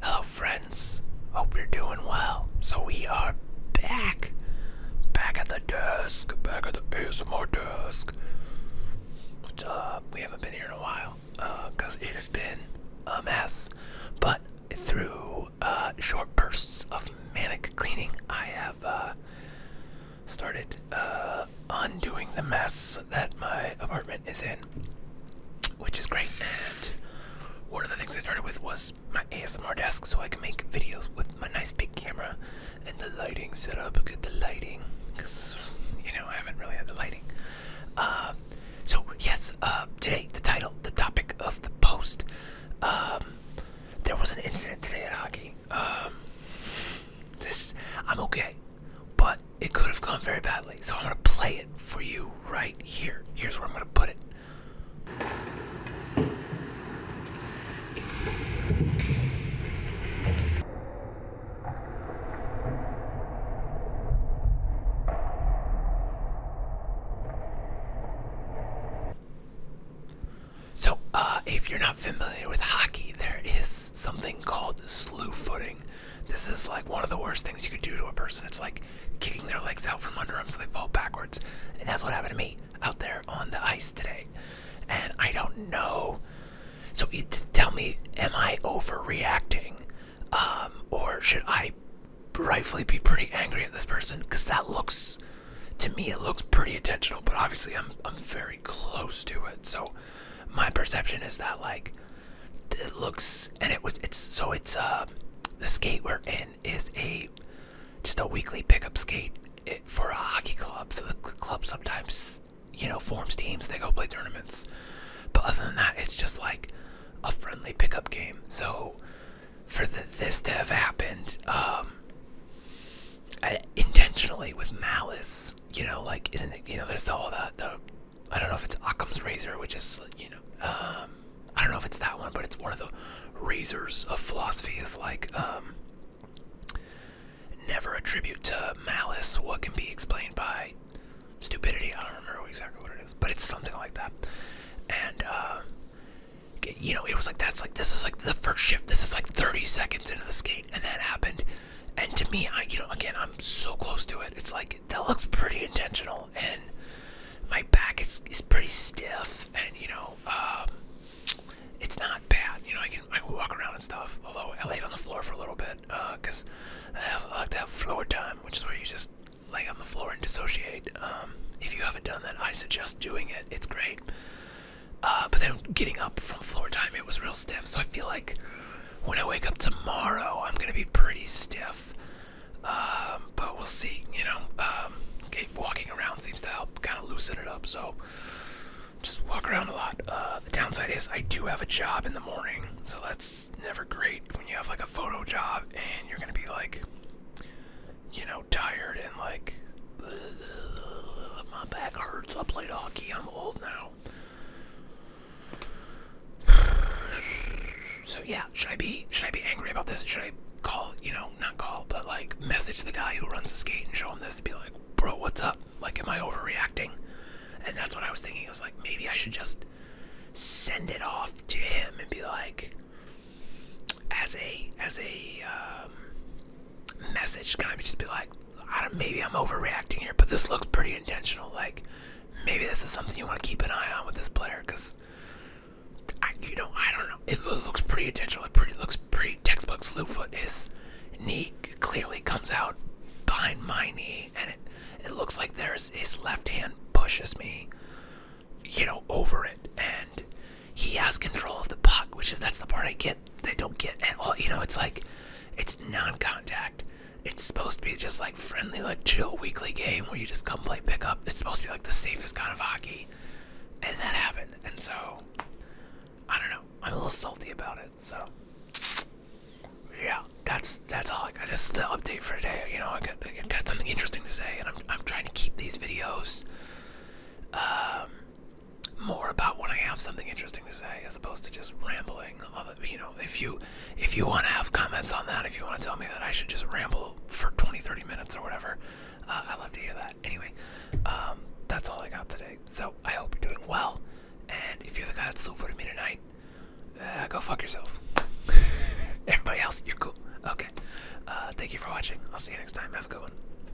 Hello, friends. Hope you're doing well. So, we are back. Back at the desk. Back at the ASMR desk. What's up? We haven't been here in a while because uh, it has been a mess. But through uh, short bursts of manic cleaning, I have uh, started uh, undoing the mess that my apartment is in, which is great. And one of the things I started with was my ASMR desk, so I can make videos with my nice big camera and the lighting set setup. Get the lighting, because you know I haven't really had the lighting. Uh, so yes, uh, today the title, the topic of the post. Um, there was an incident today at hockey. Um, this, I'm okay but it could have gone very badly. So I'm going to play it for you right here. Here's where I'm going to put it. So, uh, if you're not familiar with hockey, there is something called slew footing this is like one of the worst things you could do to a person. It's like kicking their legs out from under them so they fall backwards. And that's what happened to me out there on the ice today. And I don't know. So tell me, am I overreacting? Um, or should I rightfully be pretty angry at this person? Because that looks, to me, it looks pretty intentional. But obviously, I'm, I'm very close to it. So my perception is that, like, it looks and it was it's so it's uh the skate we're in is a just a weekly pickup skate for a hockey club so the club sometimes you know forms teams they go play tournaments but other than that it's just like a friendly pickup game so for this to have happened um intentionally with malice you know like in, you know there's the, all that though. I don't know if it's Occam's razor, which is you know, um, I don't know if it's that one, but it's one of the razors of philosophy. Is like um, never attribute to malice what can be explained by stupidity. I don't remember exactly what it is, but it's something like that. And um, you know, it was like that's like this is like the first shift. This is like 30 seconds into the skate, and that happened. And to me, I, you know, again, I'm so close to it. It's like that looks pretty intentional, and my back is is pretty stiff, and you know, um, it's not bad. You know, I can I can walk around and stuff. Although I laid on the floor for a little bit, because uh, I like to have floor time, which is where you just lay on the floor and dissociate. Um, if you haven't done that, I suggest doing it. It's great. Uh, but then getting up from floor time, it was real stiff. So I feel like when I wake up tomorrow, I'm gonna be pretty stiff. Um, but we'll see, you know. Um, okay, walking around seems to help kind of loosen it up, so just walk around a lot. Uh, the downside is I do have a job in the morning, so that's never great when you have like a photo job and you're gonna be like, you know, tired and like, my back hurts. I played hockey, I'm old now. So yeah, should I be should I be angry about this? Should I call you know not call but like message the guy who runs the skate and show him this and be like, bro, what's up? Like, am I overreacting? And that's what I was thinking. I was like, maybe I should just send it off to him and be like, as a as a um, message kind of just be like, I don't, maybe I'm overreacting here, but this looks pretty intentional. Like, maybe this is something you want to keep an eye on with this player, because I, you know, I don't know. It looks pretty intentional. It pretty looks pretty textbook slew foot. His knee clearly comes out behind my knee, and it it looks like there's his left hand pushes me, you know, over it, and he has control of the puck, which is that's the part I get they don't get at all you know it's like it's non-contact it's supposed to be just like friendly like chill weekly game where you just come play pickup it's supposed to be like the safest kind of hockey and that happened and so i don't know i'm a little salty about it so yeah that's that's all i got that's the update for today you know i got, I got something interesting to say and i'm, I'm trying to keep these videos um, more about when I have something interesting to say, as opposed to just rambling. You know, if you if you want to have comments on that, if you want to tell me that I should just ramble for 20, 30 minutes or whatever, uh, I love to hear that. Anyway, um, that's all I got today. So I hope you're doing well, and if you're the guy that's still voting me tonight, uh, go fuck yourself. Everybody else, you're cool. Okay. Uh, thank you for watching. I'll see you next time. Have a good one.